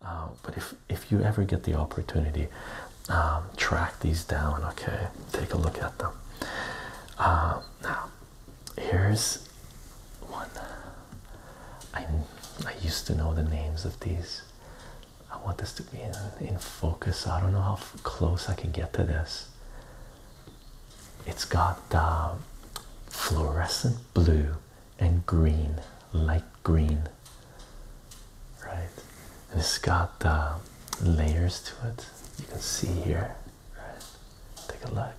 Uh, but if if you ever get the opportunity, um, track these down. Okay, take a look at them. Uh, now, here's one. I I used to know the names of these. I want this to be in, focus. I don't know how close I can get to this. It's got uh, fluorescent blue and green, light green, right? it's got layers to it. You can see here, right? Take a look.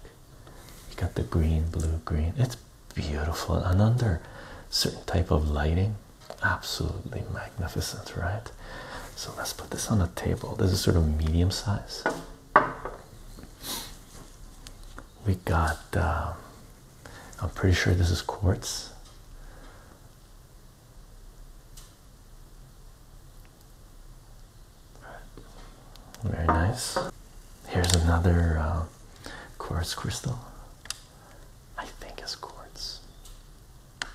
You got the green, blue, green. It's beautiful and under certain type of lighting, absolutely magnificent, right? So let's put this on a table. This is sort of medium size. We got. Um, I'm pretty sure this is quartz. Very nice. Here's another uh, quartz crystal. I think it's quartz. All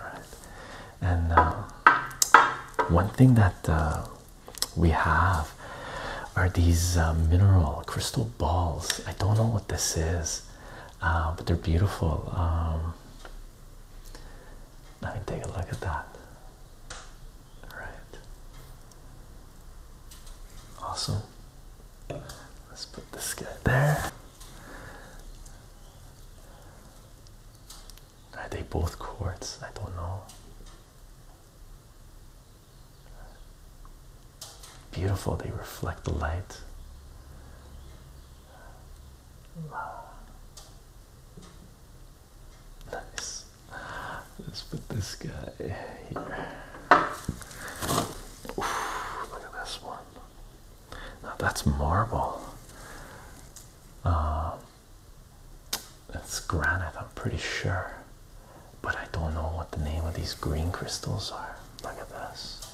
right. And uh, one thing that uh, we have are these uh, mineral crystal balls. I don't know what this is, uh, but they're beautiful. Um, let me take a look at that. All right. Awesome. Let's put this guy there. Are they both quartz? I don't know. Beautiful, they reflect the light. Nice. Let's put this guy here. look at this one. Now that's marble. Um, it's granite, I'm pretty sure. But I don't know what the name of these green crystals are. Look at this.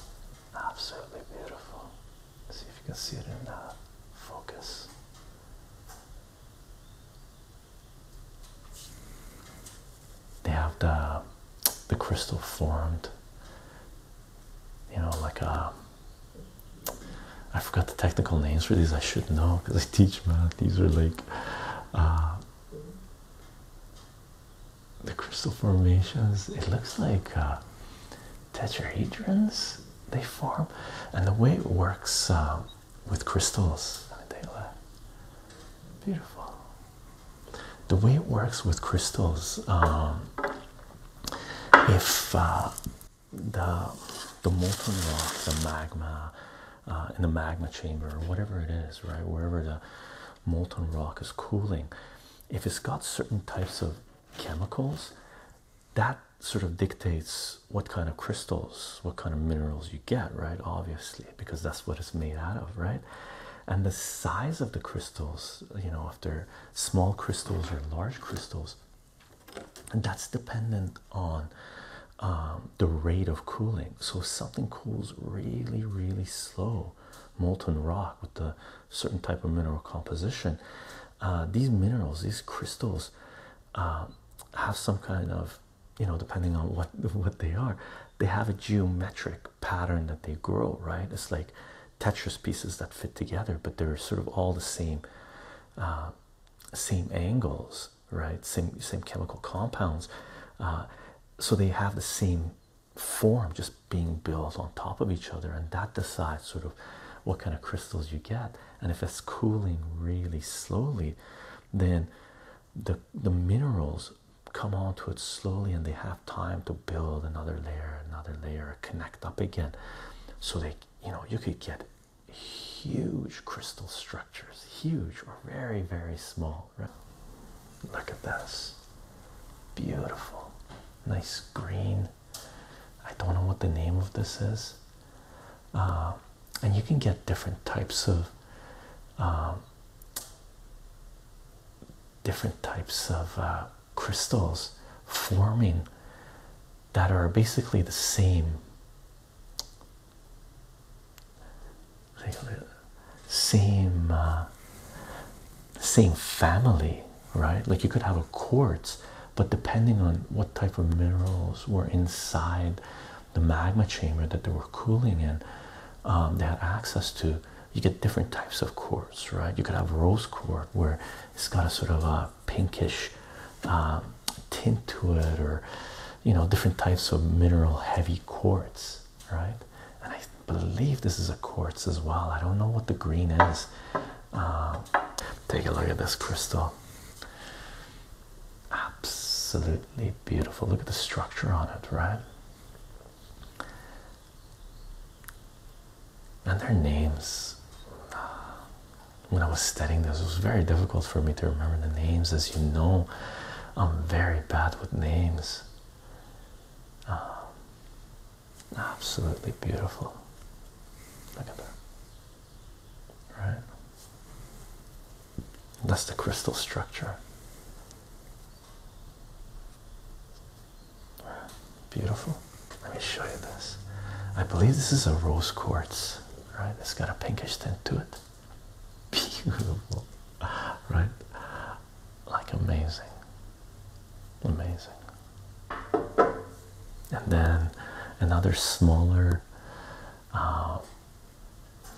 Absolutely beautiful. see if you can see it in uh, focus. They have the the crystal formed, you know, like a. Uh, I forgot the technical names for these. I should know because I teach math. These are like uh, the crystal formations it looks like uh, tetrahedrons they form and the way it works uh, with crystals beautiful the way it works with crystals um, if uh, the the molten rock the magma uh, in the magma chamber or whatever it is, right? Wherever the molten rock is cooling, if it's got certain types of chemicals, that sort of dictates what kind of crystals, what kind of minerals you get, right? Obviously, because that's what it's made out of, right? And the size of the crystals, you know, if they're small crystals or large crystals, and that's dependent on um, the rate of cooling. So if something cools really, really slow, molten rock with a certain type of mineral composition, uh, these minerals, these crystals, um, have some kind of, you know, depending on what what they are, they have a geometric pattern that they grow. Right? It's like Tetris pieces that fit together, but they're sort of all the same. Uh, same angles right? Same same chemical compounds, uh, so they have the same form, just being built on top of each other, and that decides sort of what kind of crystals you get. And if it's cooling really slowly, then the the minerals come onto it slowly, and they have time to build another layer, another layer, connect up again. So they, you know, you could get huge crystal structures is huge or very, very small. Look at this. Beautiful. Nice green. I don't know what the name of this is. Uh, and you can get different types of um, different types of uh, crystals forming that are basically the same same uh, same family right like you could have a quartz but depending on what type of minerals were inside the magma chamber that they were cooling in um, they had access to you get different types of quartz right you could have rose quartz where it's got a sort of a pinkish um, tint to it or you know different types of mineral heavy quartz right and i believe this is a quartz as well i don't know what the green is um, take a look at this crystal absolutely beautiful look at the structure on it right and their names uh, when i was studying this it was very difficult for me to remember the names as you know I'm very bad with names. Um, absolutely beautiful. Look at that. Right? That's the crystal structure. Beautiful. Let me show you this. I believe this is a rose quartz, right? It's got a pinkish tint to it. beautiful, right? Like amazing, amazing. And then another smaller, um,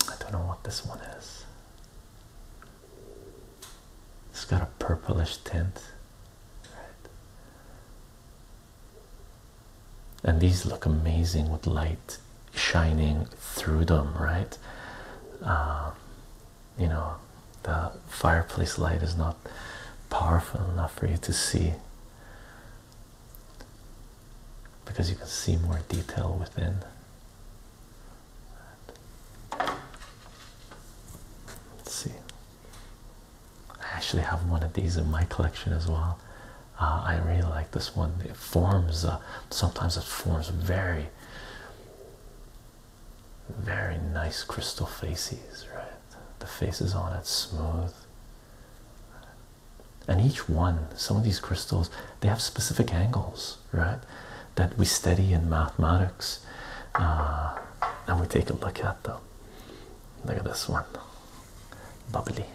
I don't know what this one is. It's got a purplish tint, right? and these look amazing with light shining through them, right? Um, you know, the fireplace light is not powerful enough for you to see because you can see more detail within. Let's see. I actually have one of these in my collection as well. Uh, I really like this one. It forms uh, sometimes it forms very, very nice crystal faces, right? The faces on it smooth, and each one, some of these crystals, they have specific angles, right? That we study in mathematics, uh, and we take a look at them. Look at this one, bubbly.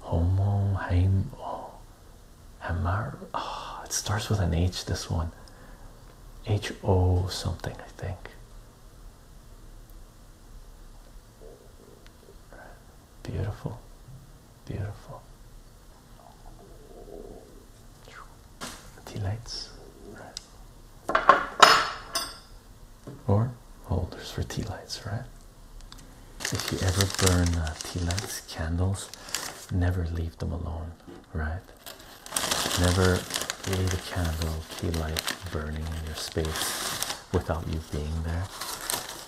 Homo Haim oh, it starts with an H. This one, H O something, I think. Beautiful, beautiful. Delights. Right or holders oh, for tea lights, right? If you ever burn uh, tea lights, candles, never leave them alone, right? Never leave a candle, tea light burning in your space without you being there.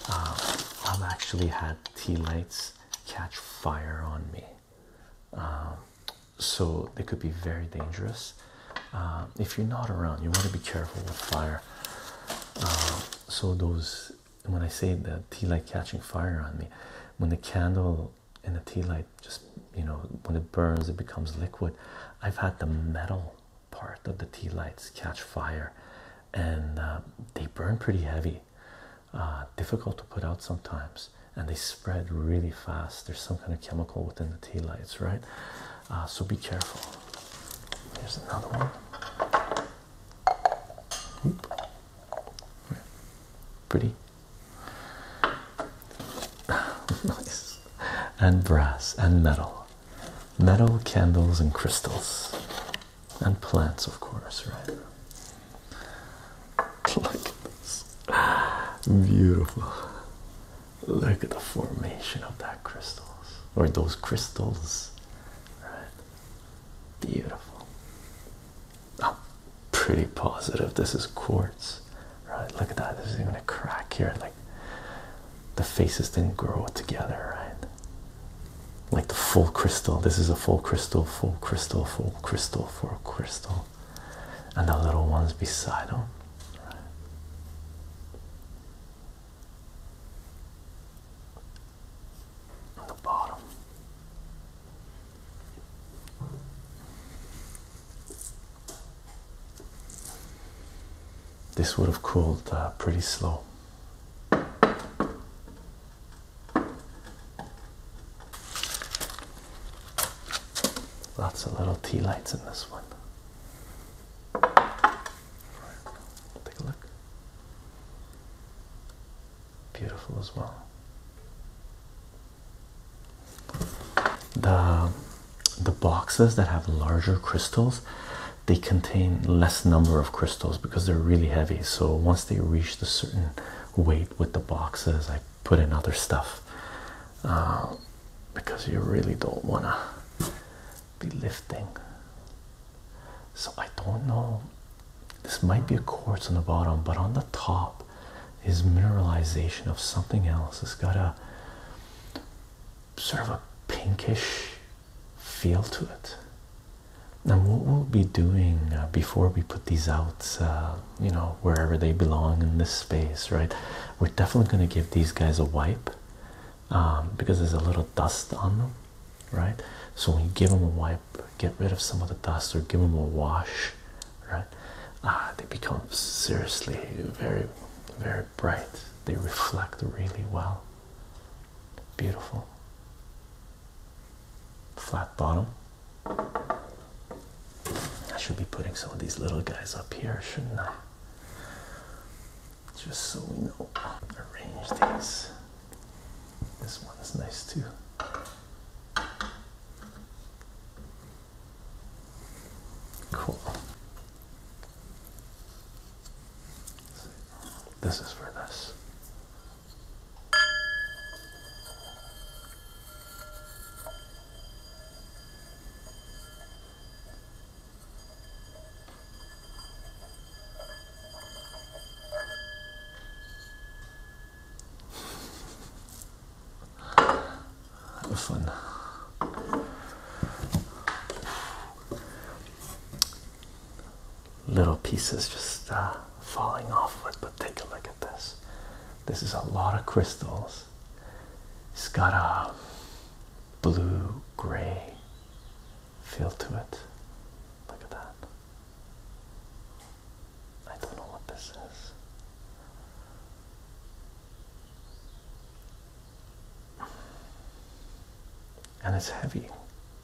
Uh, I've actually had tea lights catch fire on me. Um, so they could be very dangerous uh, if you're not around you want to be careful with fire uh, so those when i say the tea light catching fire on me when the candle and the tea light just you know when it burns it becomes liquid i've had the metal part of the tea lights catch fire and uh, they burn pretty heavy difficult to put out sometimes and they spread really fast there's some kind of chemical within the tea lights right uh, so be careful. Here's another one. Pretty nice, and brass and metal, metal candles and crystals, and plants, of course, right? Look at this, beautiful. Look at the formation of that crystals or those crystals. Right. Beautiful. I'm pretty positive this is quartz. Right, look at that. There's even a crack here. Like the faces didn't grow together, right? Like the full crystal. This is a full crystal, full crystal, full crystal, full crystal. And the little ones beside them the bottom. This would have cooled uh, pretty slow. Lots of little tea lights in this one take a look. Beautiful as well. The the boxes that have larger crystals, they contain less number of crystals because they're really heavy. So once they reach the certain weight with the boxes, I put in other stuff. Uh, because you really don't want to be lifting. So, I don't know. This might be a quartz on the bottom, but on the top is mineralization of something else. It's got a sort of a pinkish feel to it. Now, what we'll be doing uh, before we put these out, uh, you know, wherever they belong in this space, right? We're definitely going to give these guys a wipe um, because there's a little dust on them, right? So when you give them a wipe, get rid of some of the dust or give them a wash, right? Uh, they become seriously very, very bright. They reflect really well. Beautiful. Flat bottom. I should be putting some of these little guys up here, shouldn't I? just so we know. Arrange these. This one's nice too. Cool. This is for this fun. Little pieces just uh, falling off it, but take a look at this. This is a lot of crystals it's got a blue gray feel to it. Look at that. I don't know what this is. And it's heavy.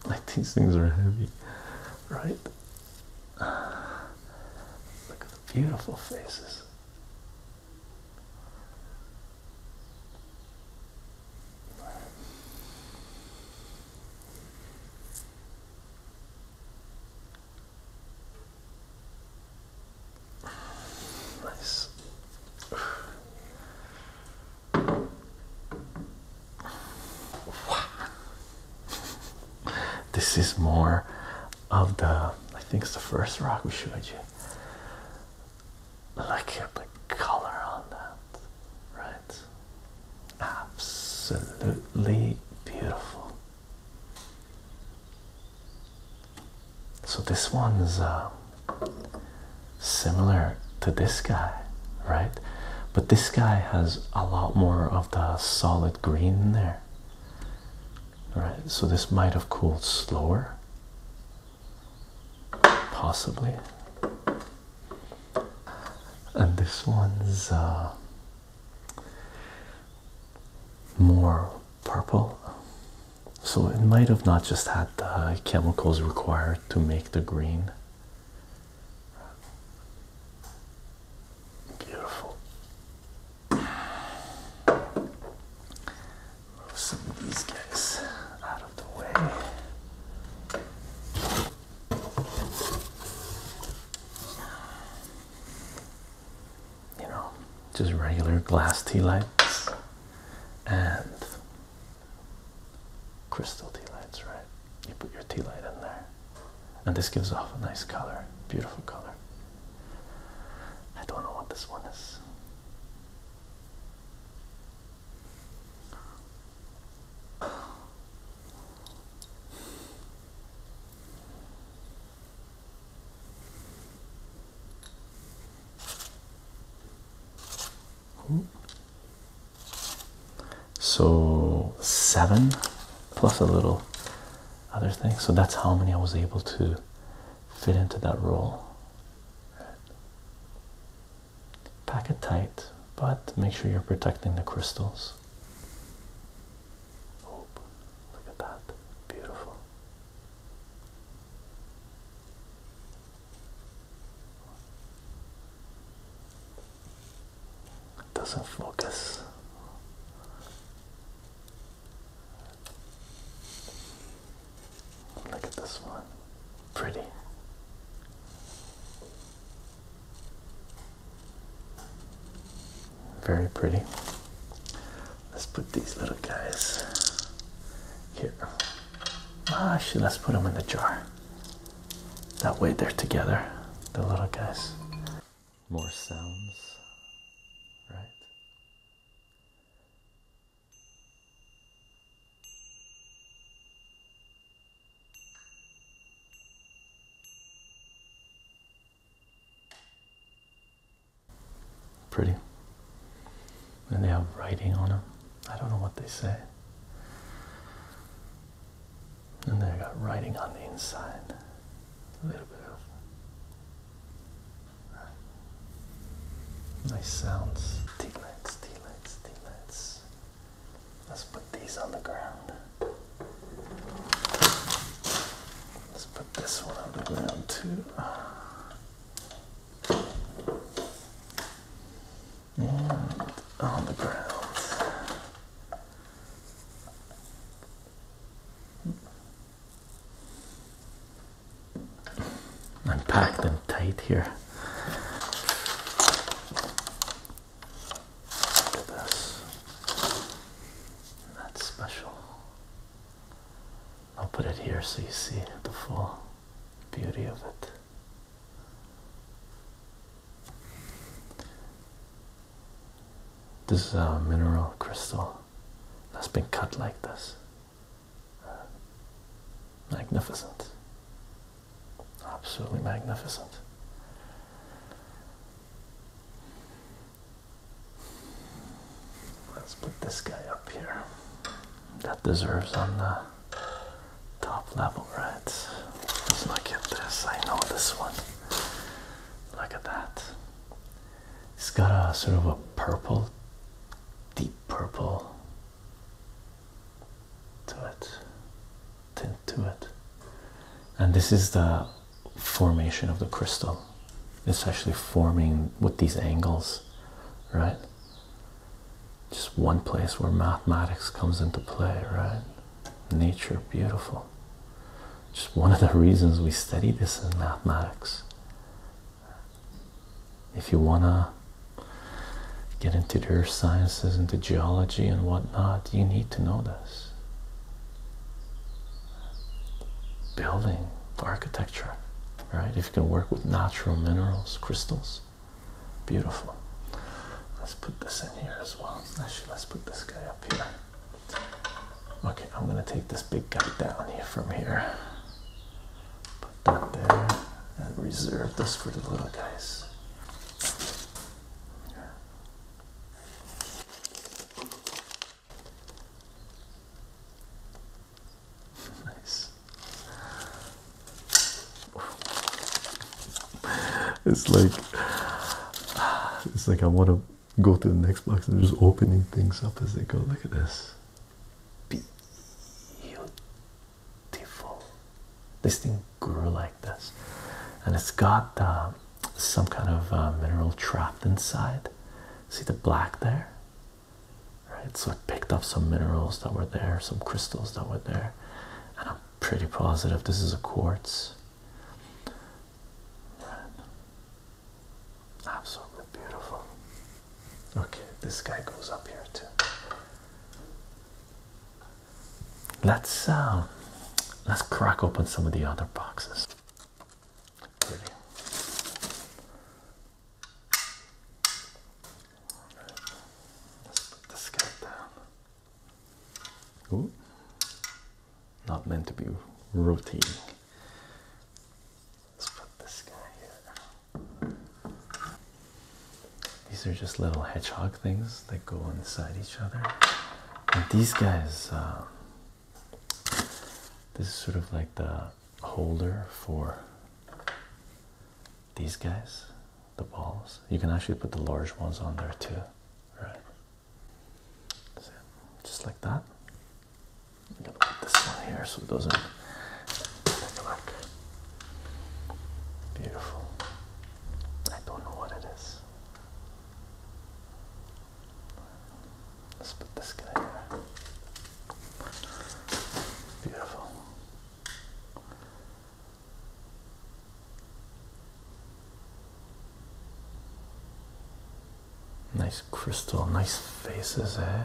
Like these things are heavy, right? Look at the beautiful faces. Nice. this is more of the I think it's the first rock we showed you. Look at the color on that, right? Absolutely beautiful. So, this one is um, similar to this guy, right? But this guy has a lot more of the solid green in there. All right, so this might have cooled slower, possibly. And this one's uh, more purple, so it might have not just had the chemicals required to make the green. Beautiful. Move some of these guys out of the way. You know, just regular glass tea lights and crystal tea lights, right? You put your tea light in there, and this gives off a nice color, beautiful color. I don't know what this one is. So seven plus a little other thing. So that's how many I was able to fit into that role. Pack it tight, but make sure you're protecting the crystals. Oh, look at that. Beautiful. doesn't focus. Look at this one. Pretty. Very pretty. Let's put these little guys here. Ah, actually, let's put them in the jar. That way they're together, the little guys. More sounds, right? Pretty. And they have writing on them. I don't know what they say. And they got writing on the inside. A little bit of Nice sounds. Tea lights, tea Let's put these on the ground. Let's put this one on the ground too. And on the ground. I'm packed and tight here. Look at this. That's special. I'll put it here so you see the full beauty of it. This is a mineral crystal that's been cut like this. Magnificent. Absolutely magnificent. Let's put this guy up here. That deserves on the top level, right? Let's look at this. I know this one. Look at that. It's got a sort of a purple, deep purple to it, tint to it. And this is the formation of the crystal. It's actually forming with these angles, right? Just one place where mathematics comes into play, right? Nature, beautiful. Just one of the reasons we study this in mathematics if you wanna get into the earth sciences, into geology and whatnot, you need to know this. Building, architecture, right? If you can work with natural minerals, crystals, beautiful. Let's put this in here as well. Actually, let's put this guy up here. Okay, I'm gonna take this big guy down here from here. Put that there and reserve this for the little guys. nice. It's like it's like I want to go to the next box and just opening things up as they go. Look at this. Beautiful. This thing grew like this, and it's got um, some kind of uh, mineral trapped inside. See the black there? Right, so I picked up some minerals that were there, some crystals that were there, and I'm pretty positive this is a quartz. Absolutely beautiful. Okay, this guy goes up here too. Let's um, let's crack open some of the other boxes. Let's put this guy down. Ooh. Not meant to be rotating. Let's put this guy here. These are just little hedgehog things that go inside each other. And these guys, um, this is sort of like the holder for these guys, the balls. You can actually put the large ones on there too, right? Just like that. I'm gonna put this one here so it doesn't neglect. Beautiful. I don't know what it is. Let's put this guy here. Beautiful. Nice crystal, nice faces, eh?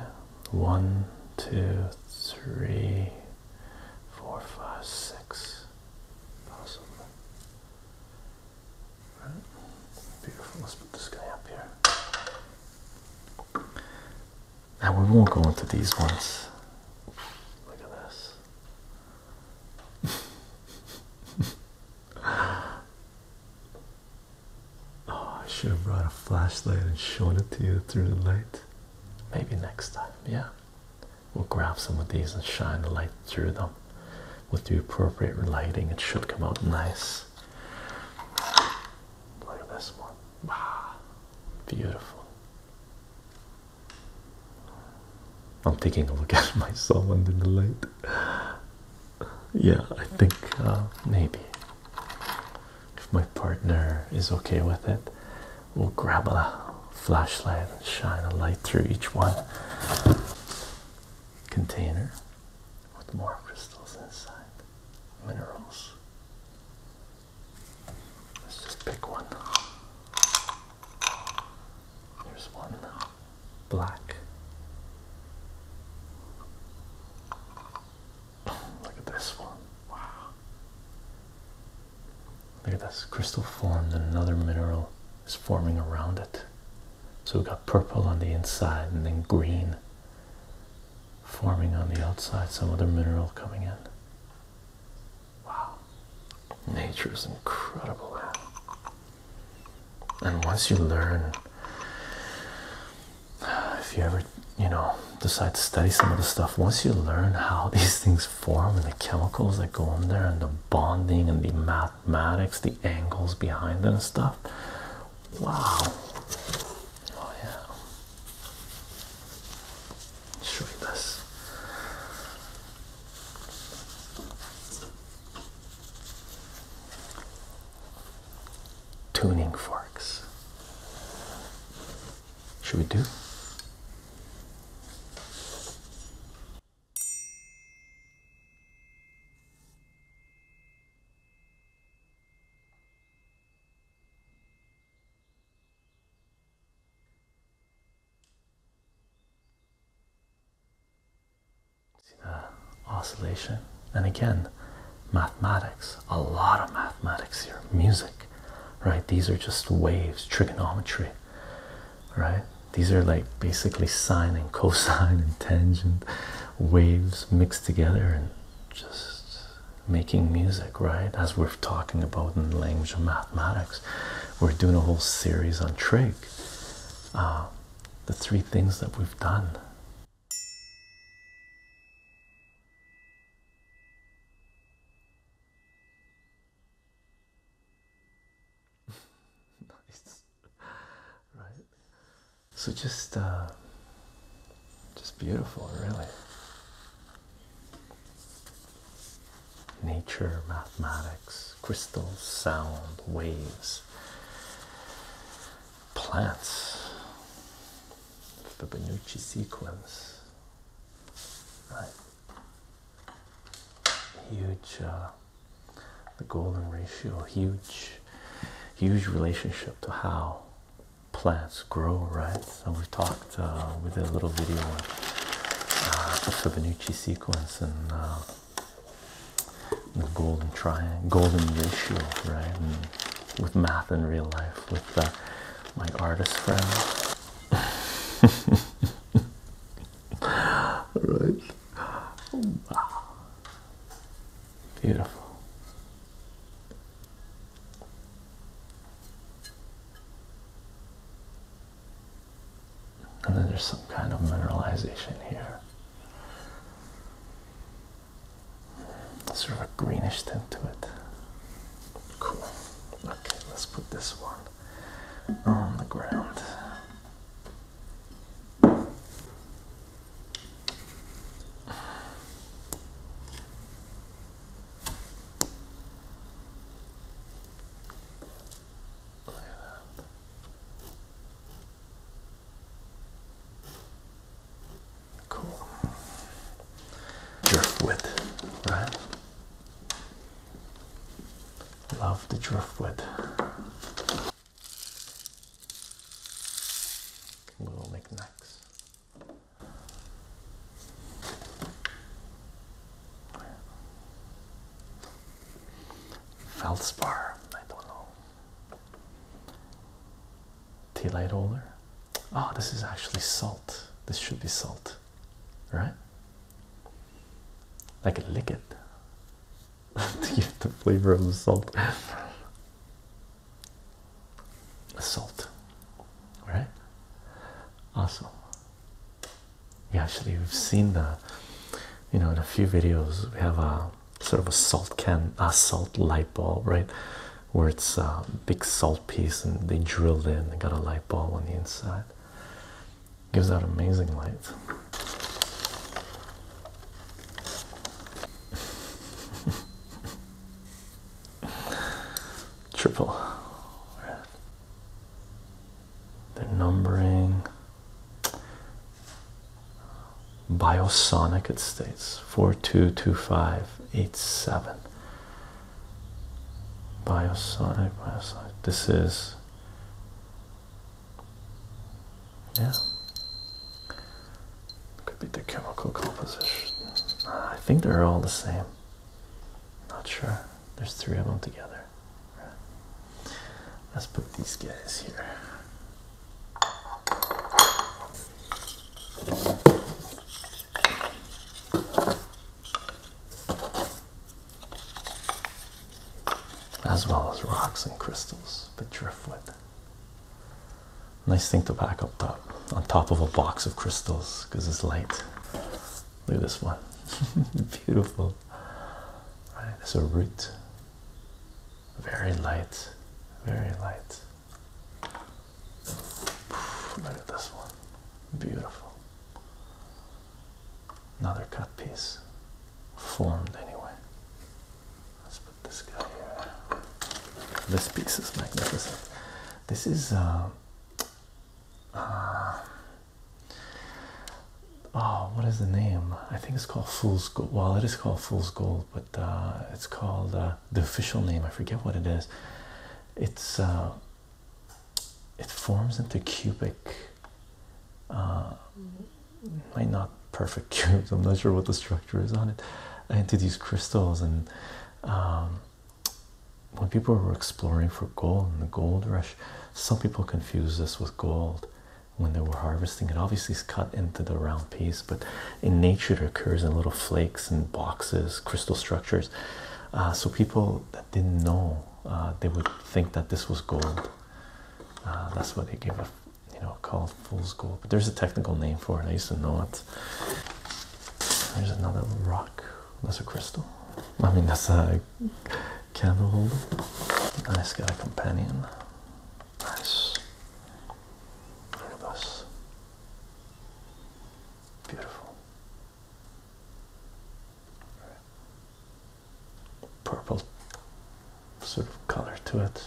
One, two, three, four, five, six. Possibly. Right. Beautiful. Let's put this guy up here. Now we won't go into these ones. Look at this. Oh, I should have brought a flashlight and shown it to you through the light. Maybe next time, yeah. We'll grab some of these and shine the light through them with the appropriate lighting. It should come out nice. Look at this one. Wow, beautiful. I'm taking a look at myself under the light yeah, I think uh, maybe if my partner is okay with it, we'll grab a flashlight and shine a light through each one container with more crystals inside, minerals. Let's just pick one. Here's one black. Look at this one. Wow. Look at this crystal formed and another mineral is forming around it. So we've got purple on the inside and then green forming on the outside, some other mineral coming in. Wow. Nature is incredible and once you learn if you ever you know decide to study some of the stuff once you learn how these things form and the chemicals that go in there and the bonding and the mathematics the angles behind it and stuff wow oh yeah show you this tuning forks. Should we do? See the oscillation? And again, mathematics, a lot of mathematics here, music, right? These are just waves, trigonometry, right? These are like basically sine and cosine and tangent waves mixed together and just making music, right? As we're talking about in the language of mathematics, we're doing a whole series on trig. Uh, the three things that we've done nice right so just uh just beautiful really nature mathematics crystals sound waves plants. the Fibonacci sequence. Right. Huge. Uh, the golden ratio, huge, huge relationship to how plants grow, right? So we talked, uh, we did a little video on uh, the Fibonacci sequence and the golden triangle, golden ratio, right? with math in real life, with uh, my artist friend. right. Beautiful. And then there's some kind of mineralization here sort of a greenish tint to it. Cool. Okay, let's put this one on the ground. Cool. Driftwood, right? Love the driftwood. Little knickknacks. Feldspar, I don't know. Tea light holder. Oh, this is actually salt. This should be salt, right? I can lick it to get the flavor of the salt. salt, right? Awesome. Yeah, actually, we've seen the, you know, in a few videos we have a sort of a salt can, a salt light bulb, right? Where it's a big salt piece and they drilled in and got a light bulb on the inside. Gives out amazing light. Triple. They're numbering. Biosonic, it states 422587. Biosonic, biosonic. This is, yeah, could be the chemical composition. Ah, I think they're all the same. Not sure. There's three of them together. Let's put these guys here as well as rocks and crystals, but driftwood. Nice thing to pack up top on top of a box of crystals because it's light. Look at this one. Beautiful. All right, it's a root. Very light, very light. Look at this one. Beautiful. Another cut piece. Formed anyway. Let's put this guy here. This piece is magnificent. This is um, uh, oh, what is the name? I think it's called Fool's Gold. Well, it is called Fool's Gold, but uh, it's called uh, the official name. I forget what it is. It's uh, it forms into cubic. might not perfect cubes. I'm not sure what the structure is on it. Into these crystals, and um, when people were exploring for gold in the gold rush, some people confuse this with gold when they were harvesting it obviously is cut into the round piece but in nature it occurs in little flakes and boxes crystal structures uh, so people that didn't know uh, they would think that this was gold uh, that's what they gave a you know called fool's gold but there's a technical name for it i used to know it there's another rock that's a crystal i mean that's a candle holder nice guy companion nice Look at this. Beautiful. Purple sort of color to it.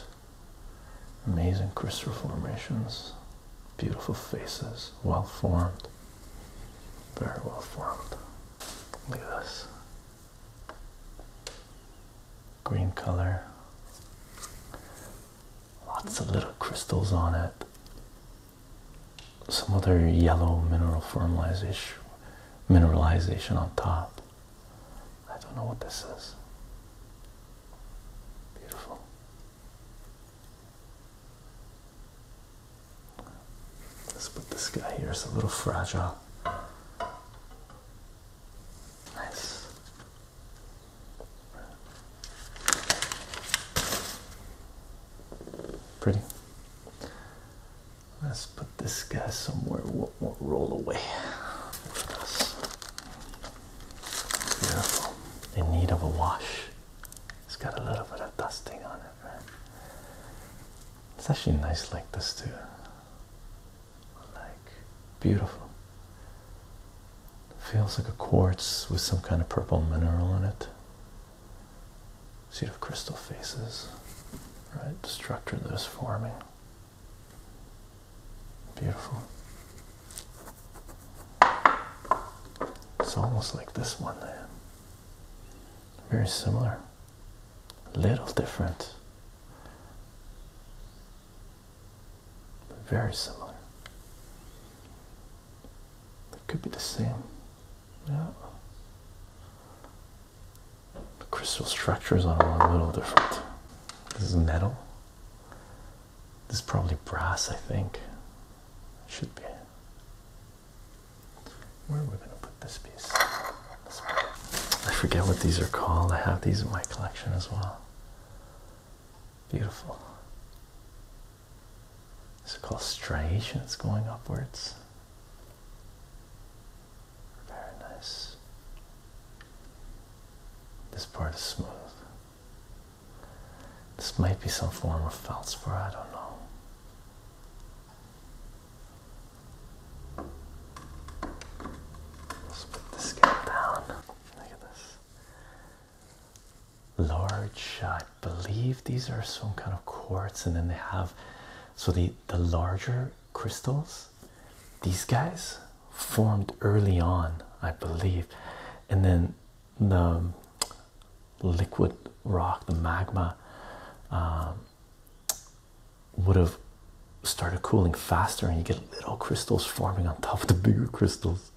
Amazing crystal formations. Beautiful faces. Well formed. Very well formed. Look at this green color. Lots of little crystals on it. Some other yellow mineral formalization mineralization on top. I don't know what this is. Beautiful. Let's put this guy here. It's a little fragile. Nice. Pretty. Let's put this guy somewhere. will won't roll away. Beautiful. In need of a wash. It's got a little bit of dusting on it, right? It's actually nice like this too like beautiful feels like a quartz with some kind of purple mineral in it Seed of crystal faces right structure that is forming beautiful it's almost like this one there very similar little different very similar. It could be the same. Yeah. The crystal structure is a little different. This is metal. This is probably brass, I think. Should be. Where are we going to put this piece? I forget what these are called. I have these in my collection as well. Beautiful. It's called striations going upwards. Very nice. This part is smooth. This might be some form of feldspar, I don't know. Let's put the scale down. Look at this. Large, I believe these are some kind of quartz, and then they have so the the larger crystals. These guys formed early on, I believe, and then the liquid rock, the magma, um, would have started cooling faster, and you get little crystals forming on top of the bigger crystals.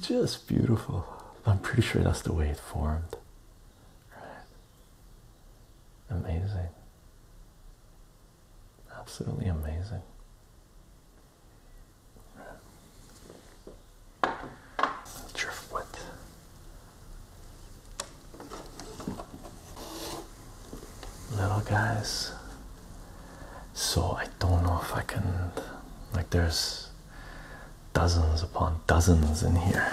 Just beautiful. I'm pretty sure that's the way it formed. Right. Amazing. Absolutely amazing. Driftwood little guys. So I don't know if I can, like, there's dozens upon dozens in here.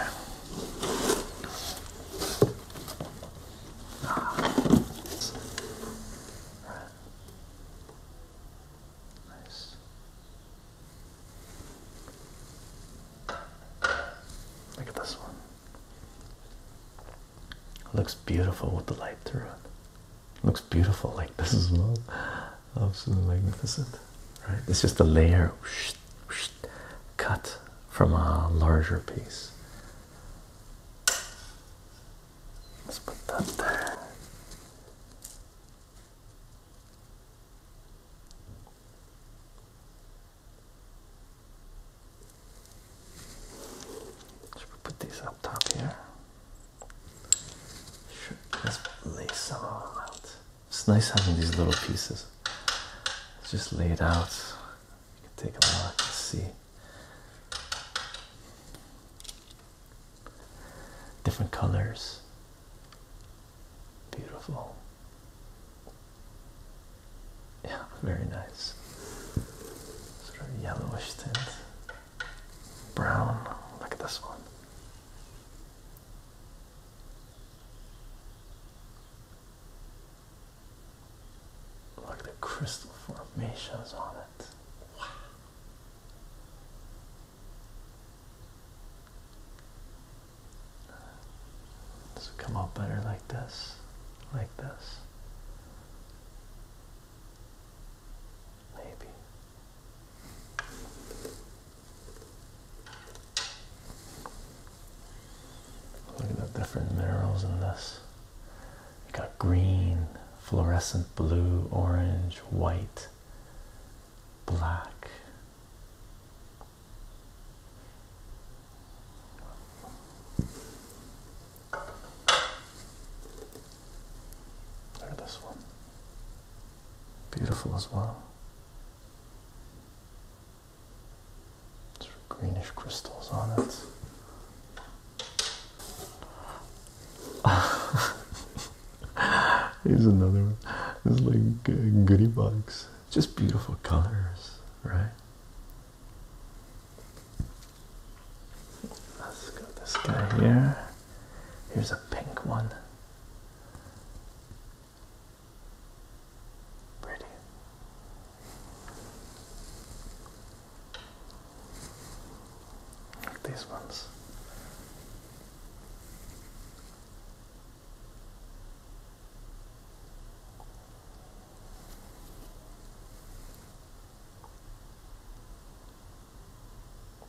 Ah, nice. Look at this one. Looks beautiful with the light through it. Looks beautiful like this is well. Absolutely magnificent, right? It's just a layer cut from a larger piece. Let's put that there. Should we put these up top here? Sure, let lay some of them out. It's nice having these little pieces. Just lay it out. You can take a look and see. Different colors. Beautiful. Yeah, very nice. Sort of yellowish tint. Brown. Look at this one. Look at the crystal formations on it. Wow. Does it come out better like this? Like this? Maybe. Look at the different minerals in this. You got green, fluorescent blue, orange, white, black. Or this one. Beautiful as well. Sort greenish crystals on it. Here's another one. This like goodie box. Just beautiful colors, right? Let's go this guy here. Here's a pink one. Pretty. these ones.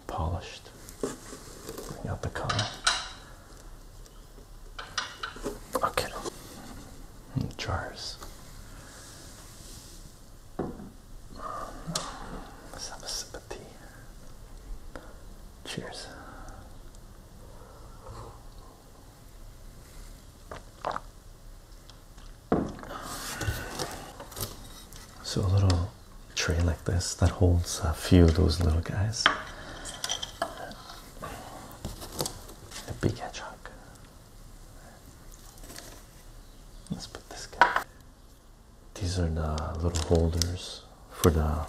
Polished. Bring out the color. Okay. jars. Let's have a sip of tea. Cheers. So a little tray like this that holds a few of those little guys. A big hedgehog. Let's put this guy. These are the little holders for the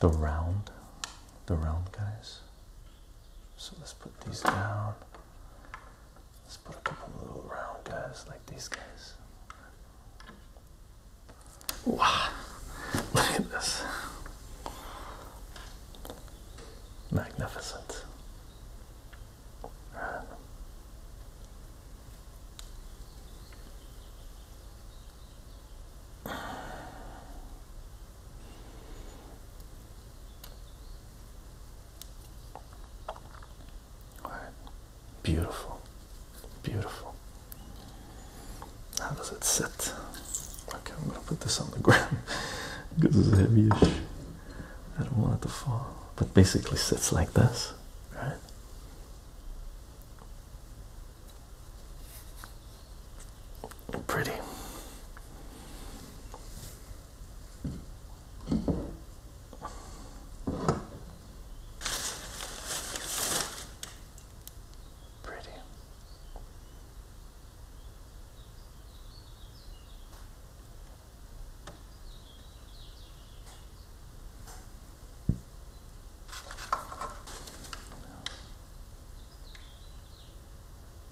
the round, the round guys. So let's put these down. Let's put a couple little round guys like these guys. Wow, look at this. Magnificent. Beautiful. Beautiful. How does it sit? Okay, I'm gonna put this on the ground because it's heavyish. I don't want it to fall. But basically sits like this, right? pretty. Pretty.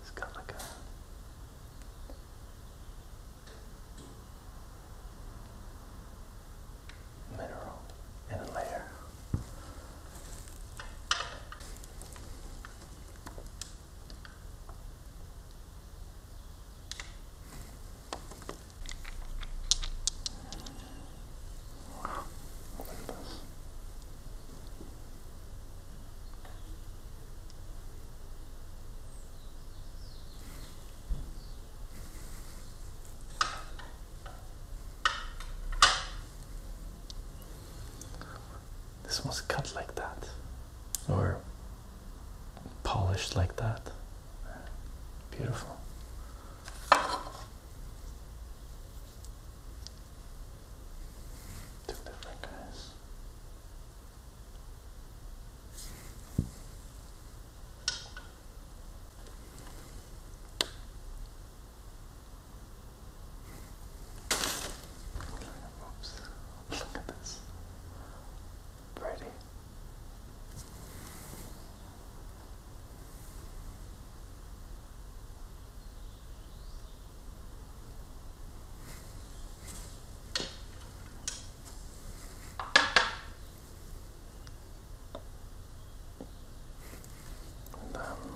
It's got like a mineral in a layer this. This was cut like that, or polished like that. Beautiful. Two different guys. Look at this. Brady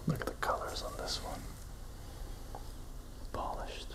look at the colors on this one. Polished.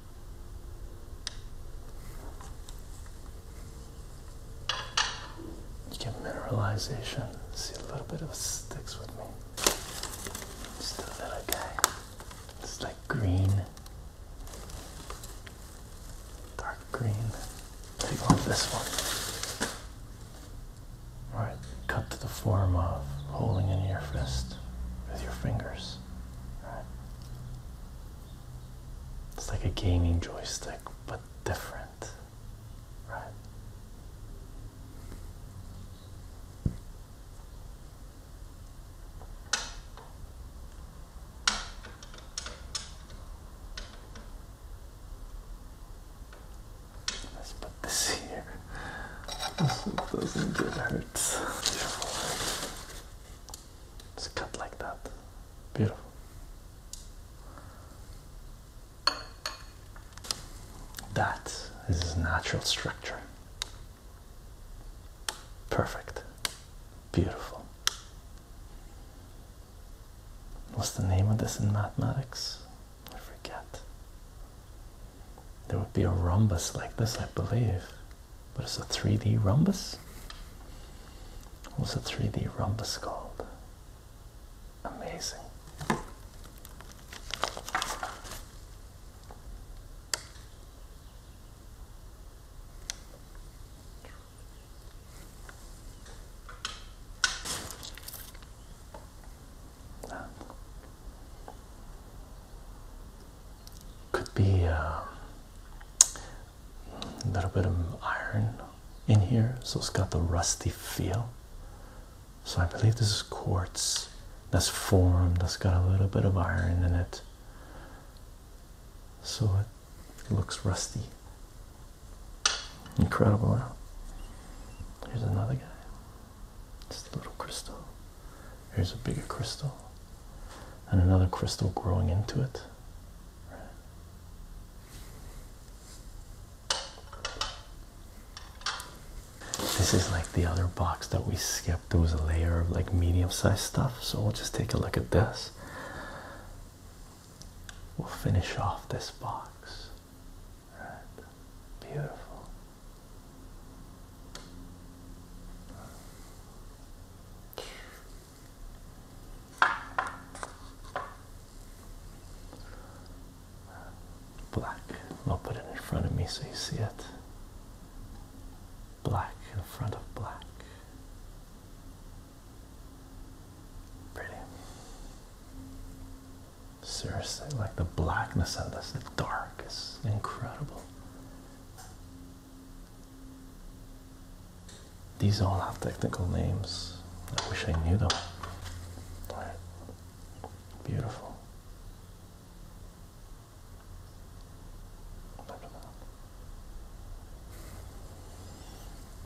You get mineralization. See a little bit of sticks with me. Just a little guy. It's like green. Dark green. Take off this one. Alright, cut to the form of holding in your fist with your fingers. Alright. It's like a gaming joystick, but different, right? Let's put this here so it doesn't get hurt. It's cut like that. Beautiful. That is his natural structure. Perfect. Beautiful. What's the name of this in mathematics? I forget. There would be a rhombus like this, I believe but it's a 3D rhombus. What's a 3D rhombus called? Amazing could be uh, a little bit of iron in here, so it's got the rusty feel. So I believe this is quartz that's formed, that's got a little bit of iron in it, so it looks rusty. Incredible. Huh? Here's another guy. Just a little crystal. Here's a bigger crystal and another crystal growing into it. This is like the other box that we skipped. There was a layer of like medium sized stuff. So we'll just take a look at this. We'll finish off this box. Right. Beautiful. Black. I'll put it in front of me so you see it. Black in front of black. Pretty. Seriously, like the blackness of this, the dark is incredible. These all have technical names. I wish I knew them. Beautiful.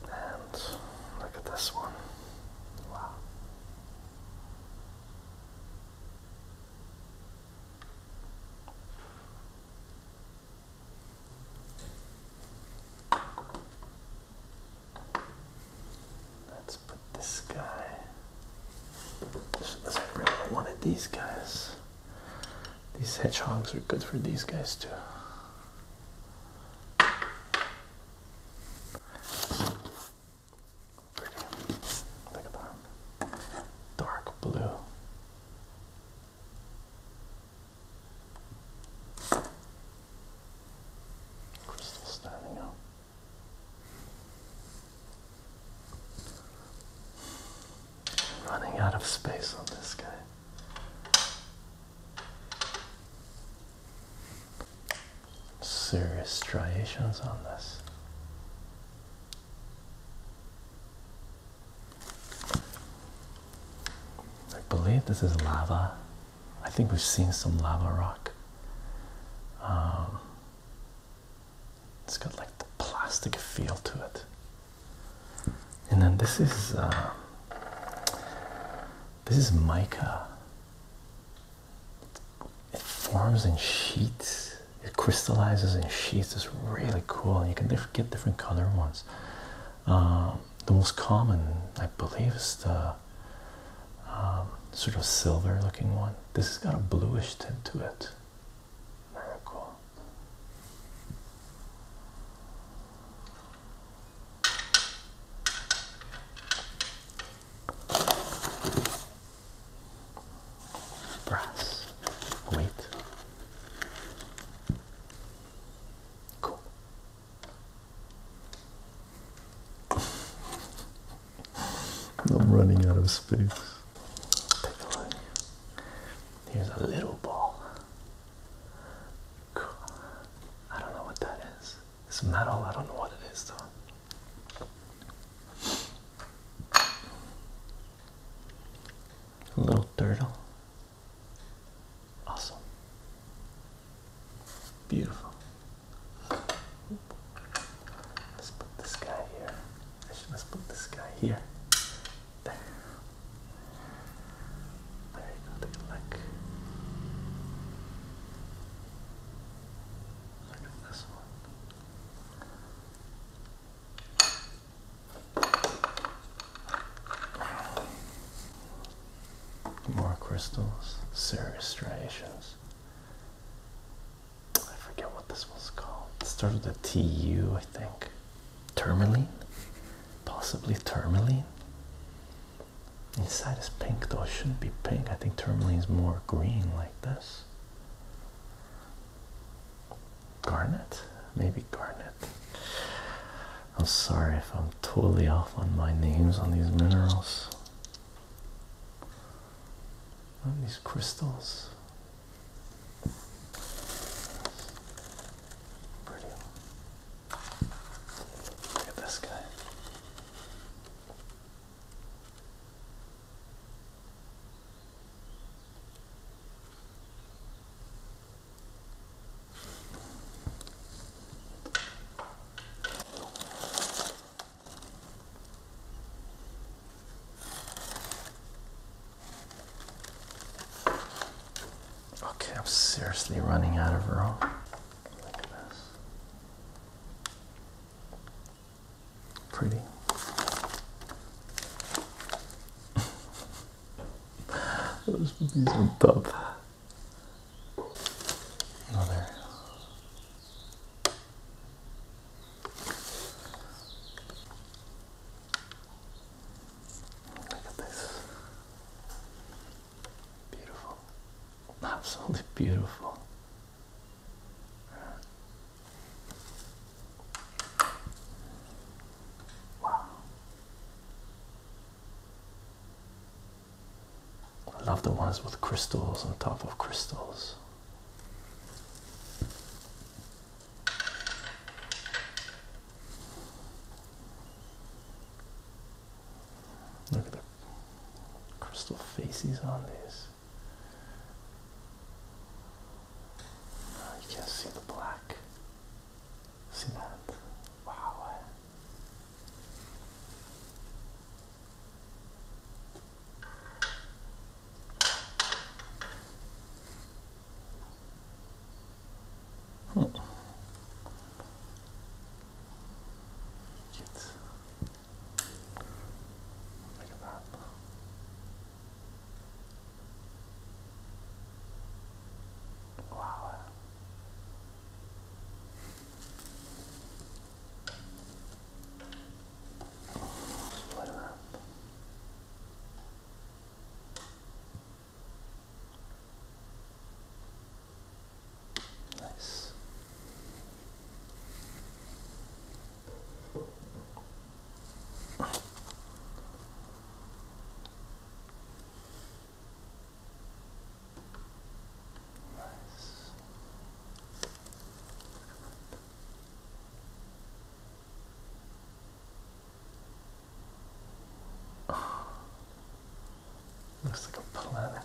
And look at this one. Wow. Let's put this guy. I really wanted these guys. These hedgehogs are good for these guys too. Dark blue. I'm still running out of space on this guy. Serious striations on this. I believe this is lava. I think we've seen some lava rock. Um, it's got like the plastic feel to it. And then this is um, this is mica. It forms in sheets it crystallizes in sheets it's really cool you can get different color ones um, the most common i believe is the um, sort of silver looking one this has got a bluish tint to it very cool brass weight I'm running out of space. Take a Here's a little ball. I don't know what that is. It's metal. I don't know what it is though. A Little turtle. Awesome. Beautiful. Let's put this guy here. let's put this guy here. There. There you Take a look. Look at this one. More crystals, serious striations. I forget what this was called. It started with a TU, I think. Tourmaline? Possibly tourmaline? Inside is pink though, it shouldn't be pink. I think tourmaline is more green like this. Garnet? Maybe Garnet. I'm sorry if I'm totally off on my names on these minerals. On these crystals. Look at this guy. Okay, I'm seriously running out of room. Look at this. Pretty. Those these on top. Oh, Another. Look at this. Beautiful. Absolutely beautiful. I love the ones with crystals on top of crystals. Look at the crystal faces on this. Uh, you can see the black cement. Wow. Hmm. Look at that. Wow. Split her Nice. Looks like a planet.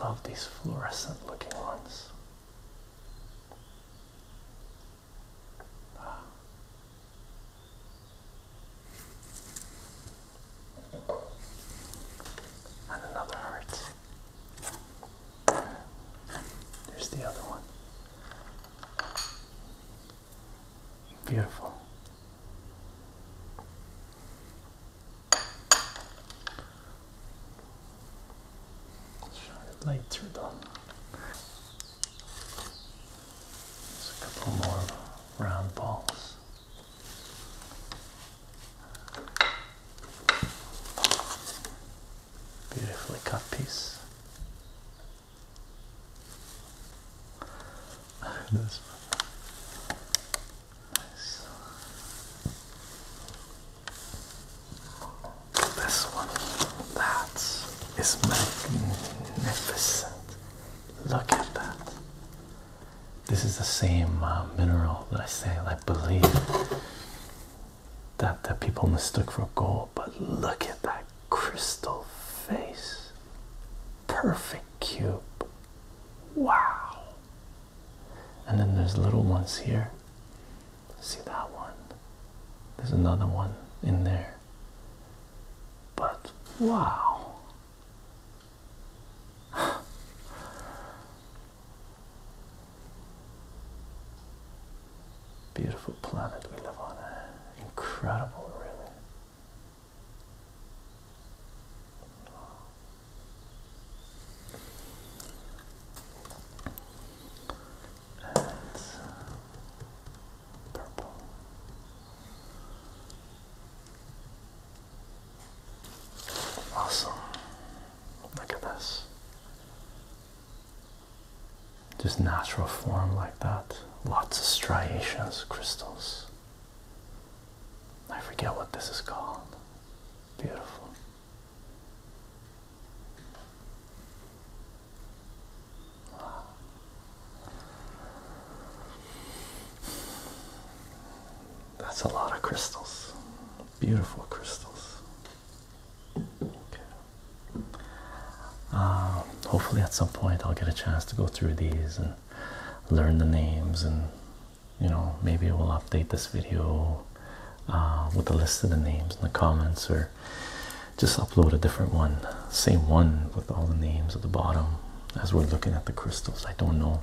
Love these fluorescent looking ones. Ah. And another heart. There's the other one. Beautiful. Let's Shine it later though. Just a couple more round balls. Beautifully cut piece. this this one, that is magnificent. Look at that. This is the same uh, mineral that I say I believe that, the people mistook for gold, but look at that crystal face. Perfect cube. Wow and then there's little ones here. See that one? There's another one in there. But wow. Beautiful planet we live on. Incredible, really. And purple. Awesome. Look at this. Just natural form like that. Lots of striations, crystals. I forget what this is called. Beautiful. Wow. That's a lot of crystals. Beautiful crystals. Okay. Um, hopefully, at some point, I'll get a chance to go through these and learn the names and you know maybe we'll update this video uh, with a list of the names in the comments or just upload a different one same one with all the names at the bottom as we're looking at the crystals i don't know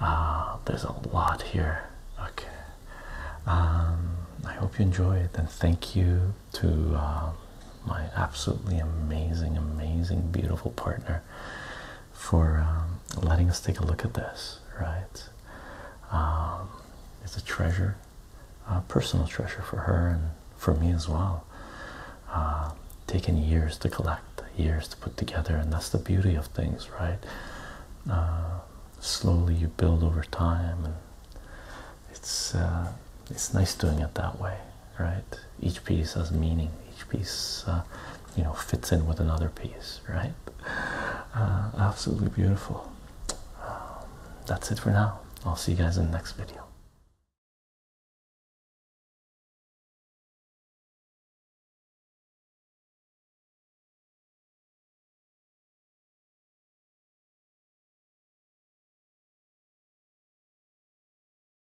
uh, there's a lot here okay um, i hope you enjoy it, and thank you to uh, my absolutely amazing amazing beautiful partner for um, letting us take a look at this, right? Um, it's a treasure, a personal treasure for her and for me as well. Uh, taken years to collect, years to put together, and that's the beauty of things, right? Uh, slowly you build over time, and it's uh, it's nice doing it that way, right? Each piece has meaning. Each piece uh, you know fits in with another piece right uh, absolutely beautiful um, that's it for now i'll see you guys in the next video